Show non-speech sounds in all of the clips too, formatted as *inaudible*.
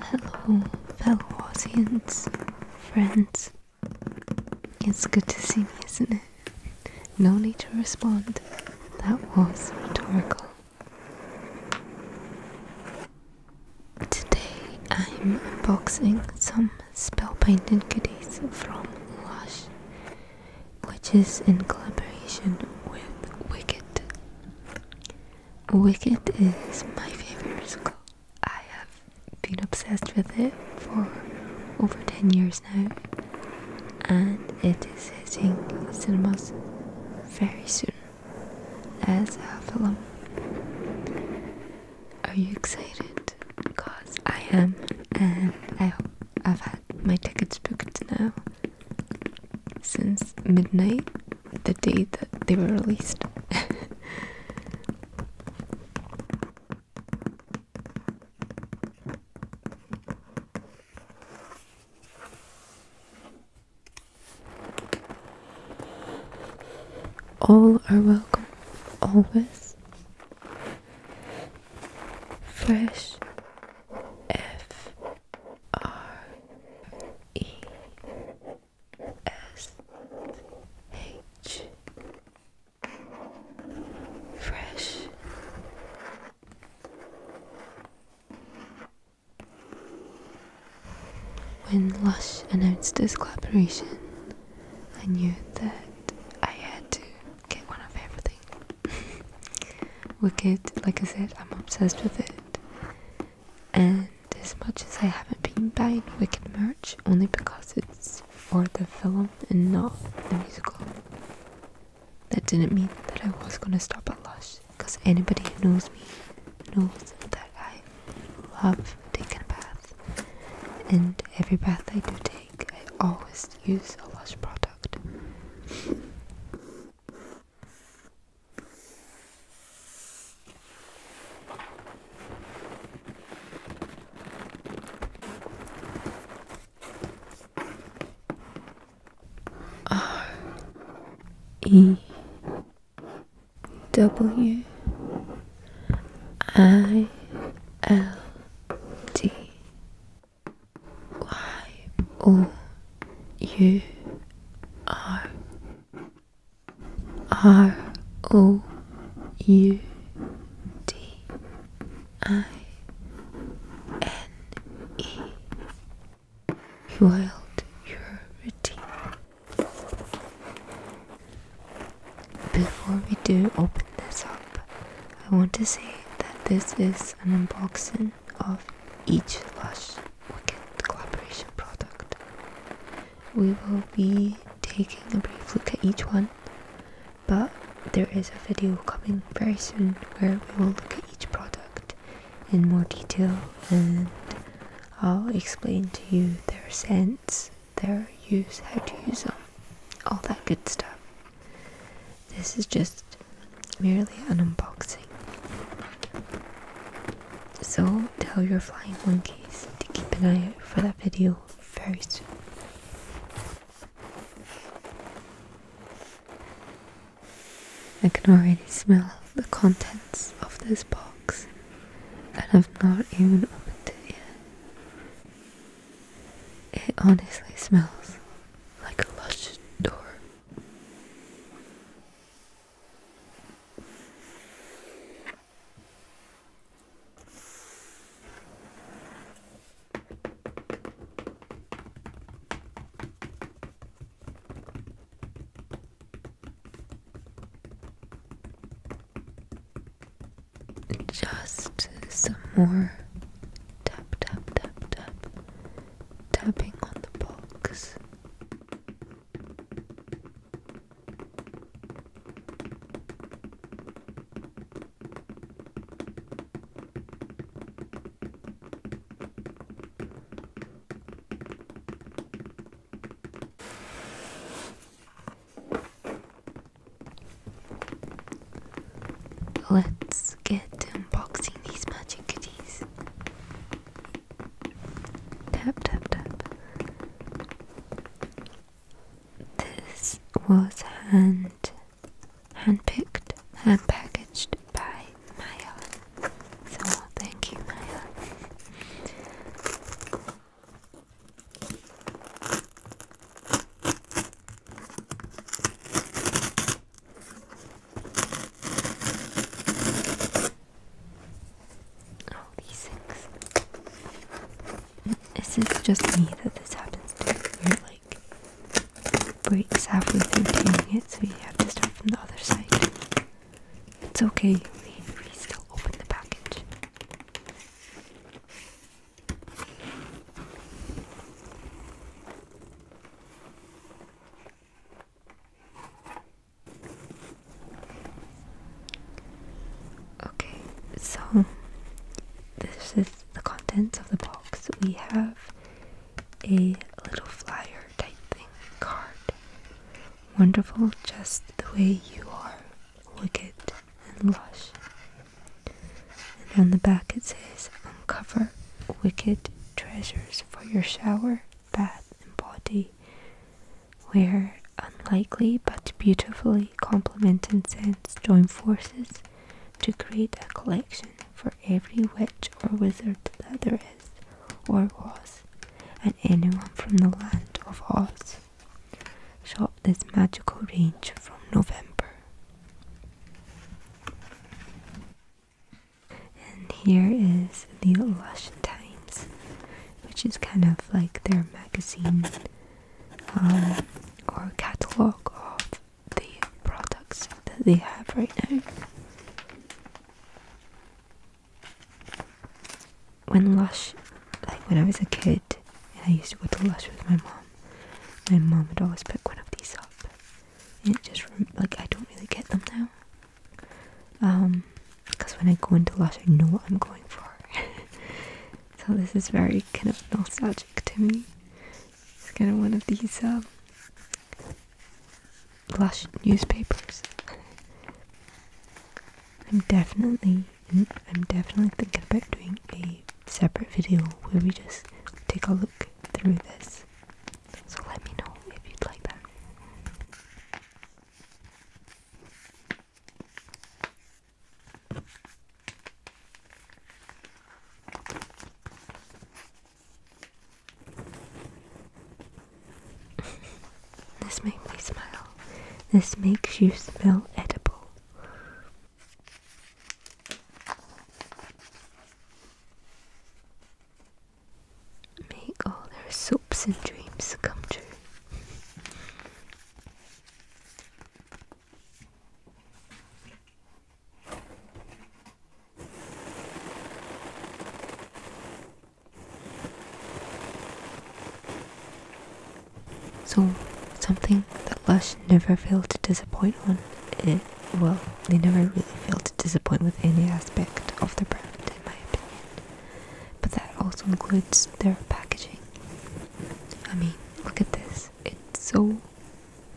Hello, fellow audience, friends. It's good to see me, isn't it? No need to respond. That was rhetorical. Today I'm unboxing some spell painted Cadiz from Lush, which is in collaboration with Wicked. Wicked is my favorite musical. I have been obsessed with it for over 10 years now, and it is hitting cinemas very soon as a film. Are you excited? Because I am, and I hope I've had my tickets booked now since midnight, the day that they were released. *laughs* All are welcome, always. Fresh F R E S H Fresh When Lush announced this collaboration, I knew that I had to get one of everything. *laughs* Wicked, like I said, I'm obsessed with it. And as much as I haven't been buying Wicked merch, only because it's for the film and not the musical, that didn't mean that I was gonna stop at Lush. Because anybody who knows me knows that I love taking a bath, and every bath I do take I always use a Lush product. R E W I L D Y O U R R O U D I N E World your before we do open this up, I want to say that this is an unboxing of each Lush Wicked collaboration product. We will be taking a brief look at each one, but there is a video coming very soon where we will look at each product in more detail and I'll explain to you their sense their use, how to use them, all that good stuff. This is just merely an unboxing. So tell your flying monkeys to keep an eye out for that video very soon. I can already smell the contents of this box and I've not even opened it yet. It honestly smells like a lush door just some more tap, tap, tap, tap, tapping on the box. Let's get unboxing these magic goodies. Tap, tap, tap. This was hand handpicked, hand packaged by Maya. So thank you, Maya. Oh, these things. This just me that this happens to. Where it like breaks halfway through doing it, so we have to start from the other side. It's okay, we still open the package. Okay, so this is the contents of the box. We have a little flyer type thing card. Wonderful, just the way you are wicked and lush. And on the back it says, Uncover wicked treasures for your shower, bath, and body, where unlikely but beautifully complementing scents join forces to create a collection for every witch or wizard that there is or was, and anyone from the land of Oz. Shop this magical range from November. And here is the Lush Times, which is kind of like their magazine um, or catalogue of the products that they have right now when Lush, like when I was a kid and I used to go to Lush with my mom, my mom would always pick one of these up. And it just, like, I don't really get them now. Um, because when I go into Lush, I know what I'm going for. *laughs* so this is very kind of nostalgic to me. It's kind of one of these, um, Lush newspapers. *laughs* I'm definitely mm, I'm definitely thinking about doing a separate video where we just take a look through this. So let me know if you'd like that this makes me smile. This makes you smell edible. Make all their hopes and dreams come true. So, something that Lush never failed to disappoint on well, they never really failed to disappoint with any aspect of their brand, in my opinion. But that also includes their packaging. I mean, look at this. It's so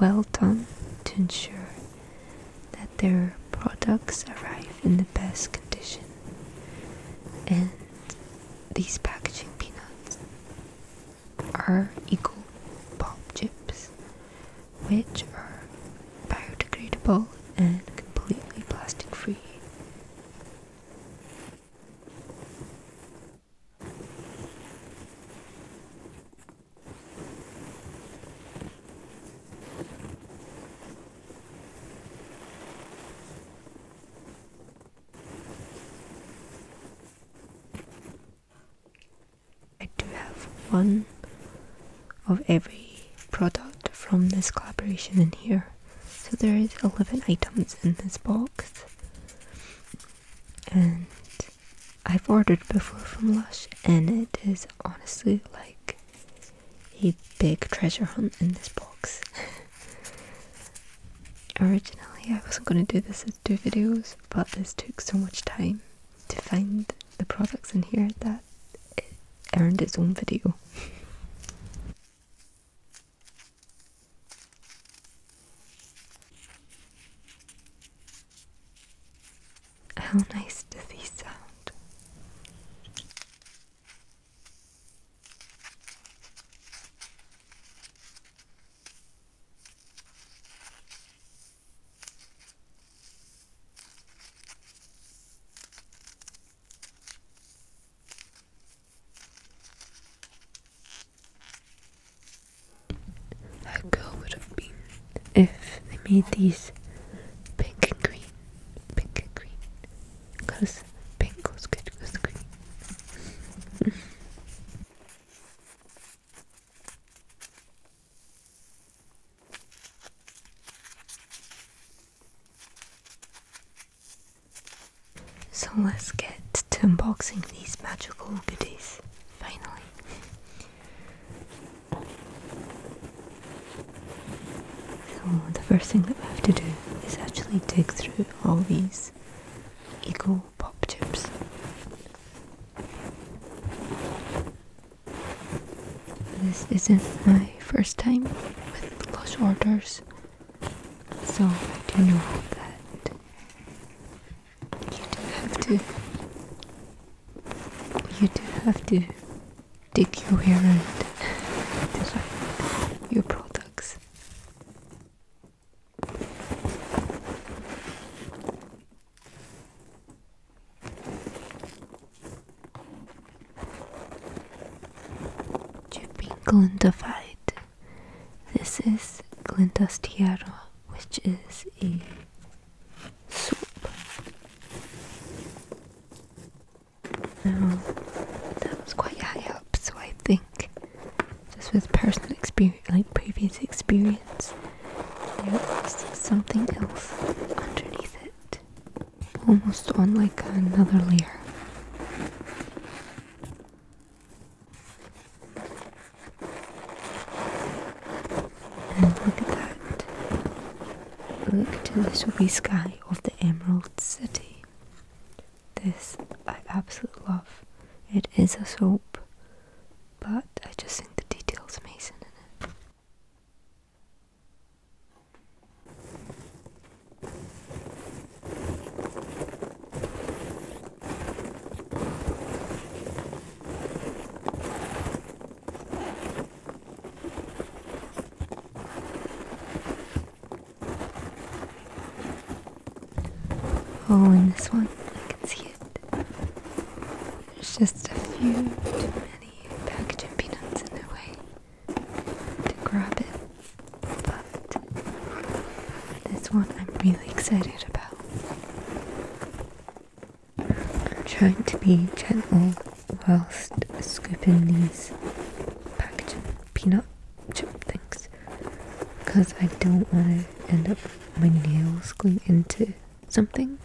well done to ensure that their products arrive in the best condition. And these packaging peanuts are eco pop chips, which are biodegradable and completely plastic free. I do have one of every product from this collaboration in here. So there is 11 items in this box. And I've ordered before from Lush and it is honestly like a big treasure hunt in this box. *laughs* Originally, I wasn't going to do this as two videos, but this took so much time to find the products in here that it earned its own video. *laughs* How nice do these sound? How cool would have been if they made these pink and green pink and green. Because pink goes good with green. *laughs* so let's get to unboxing these magical goodies finally. So the first thing that we have to do is actually dig through all these Eagle pop chips. This isn't my first time with close orders, so I do know that you do have to you do have to take you here and decide your products. Jumping glintophyte. This is glintastiara, which is a soup. No, that was quite high up, so I think just with personal experience, like previous experience. There was something else underneath it, almost on like another layer look at that. Look to the snowy sky of the Emerald City. This I absolutely love. It is a soap, but I just think the detail's amazing in it. Oh, and this one, I can see it. There's just a few too many packaging peanuts in their way to grab it. But this one I'm really excited about. I'm trying to be gentle whilst scooping these packaging peanut chip things because I don't want to end up my nails going into something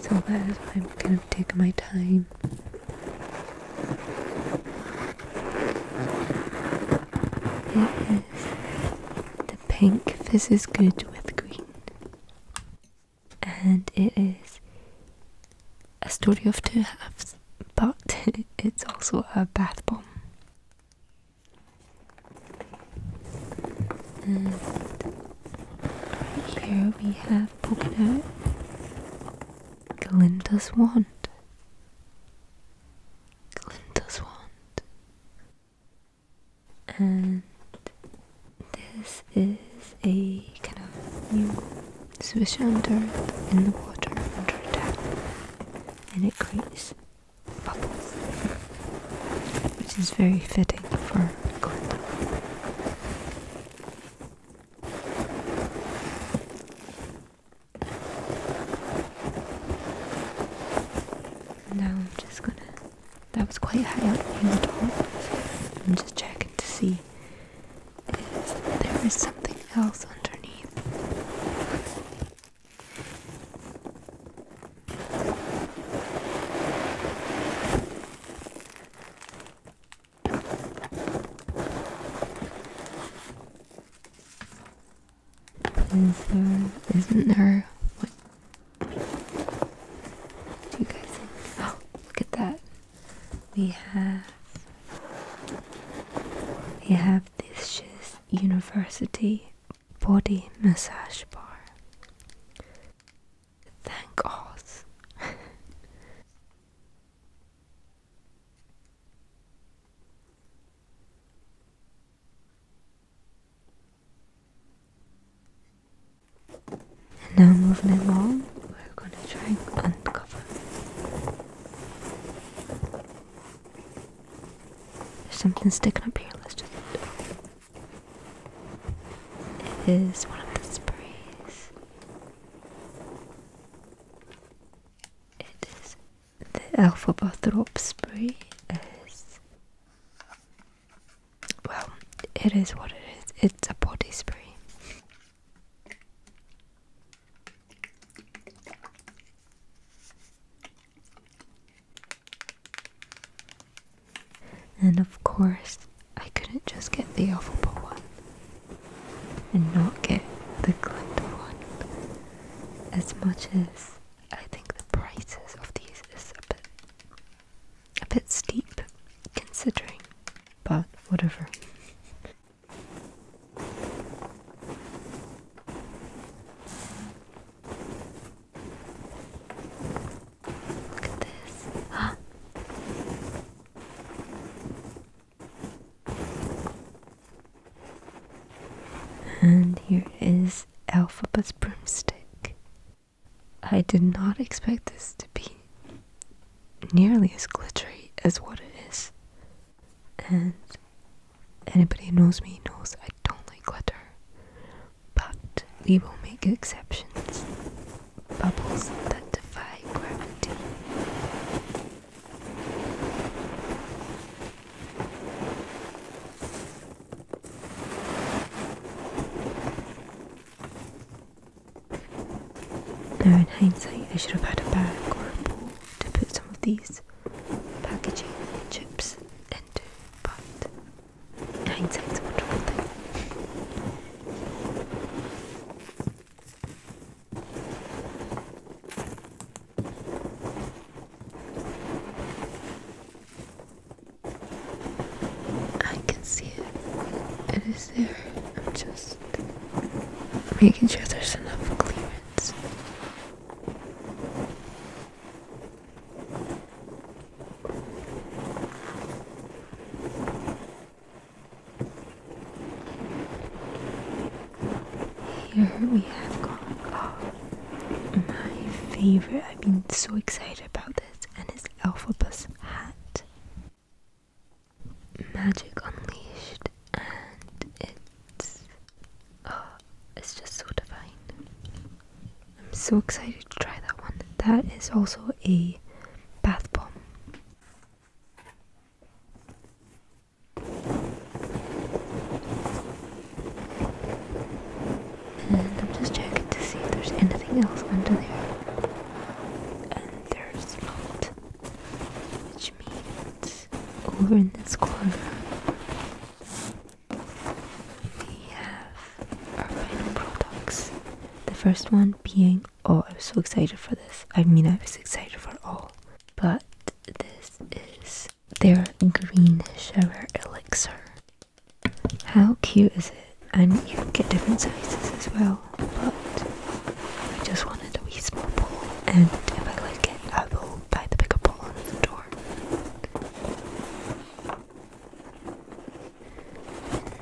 so that is why I'm kind of taking my time it is the pink this is good with green and it is a story of two halves, but *laughs* it's also a bath bomb. And right here we have poking out Glinda's wand. Glinda's wand. And this is a kind of new swish under in the water under attack and it creates bubbles which is very fitting for Quinta. Now I'm just gonna that was quite high up near the top. I'm just checking to see if there is something else underneath. Is there, isn't there, oh look at that we have we have this just university body massage bar thank god and now moving along, we're going to try and uncover. There's something sticking up here, let's just... It is one of the sprays. It is the Alpha Bathrobe spray is well, it is what it is. It's a body spray. And of course, I couldn't just get the alphabet one and not get the glitter one. As much as I think the prices of these is a bit a bit steep, considering, but whatever. Look at this. Huh? Ah. And here is Alphabet's broomstick. I did not expect this to be nearly as glittery as what it is. And anybody who knows me knows I don't like glitter. But we will make exceptions. Bubbles that defy gravity. Now in hindsight I should have had a bag or a bowl to put some of these packaging chips into, but hindsight's a wonderful thing. I can see it. It is there. I'm just making sure there's enough clearance. Here we have gone. Oh, my favorite. I've been so excited about feathers and his Alphobus hat. Magic Unleashed, and it's oh, it's just so divine. I'm so excited to try that one. That is also a bath bomb. And I'm just checking to see if there's anything else under there. And there's not. Which means over in this corner we have our final products. The first one being oh I was so excited for this. I mean I was excited for all. But this is their green shower elixir. How cute is it? And you get different sizes as well. But I just wanted a wee small bowl, and if I like it, I will buy the bigger bowl on the door.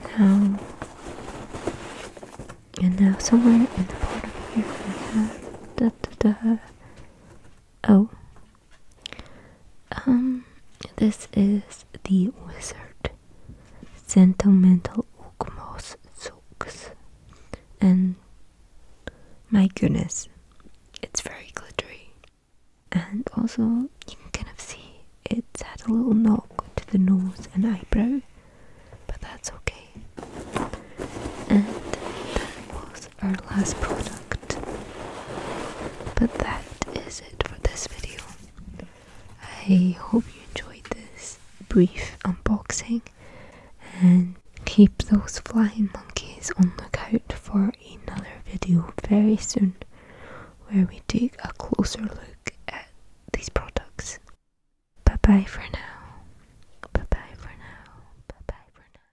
Now, um, and now somewhere in the bottom here, we have da da da. Oh. Um, this is the wizard. Sentimental moss Zooks. And my goodness, it's very glittery. And also, you can kind of see it's had a little knock to the nose and eyebrow, but that's okay. And that was our last product. But that is it for this video. I hope you enjoyed this brief unboxing and keep those flying monkeys on the lookout for another video very soon where we take a closer look at these products. Bye bye for now. Bye bye for now. Bye bye for now.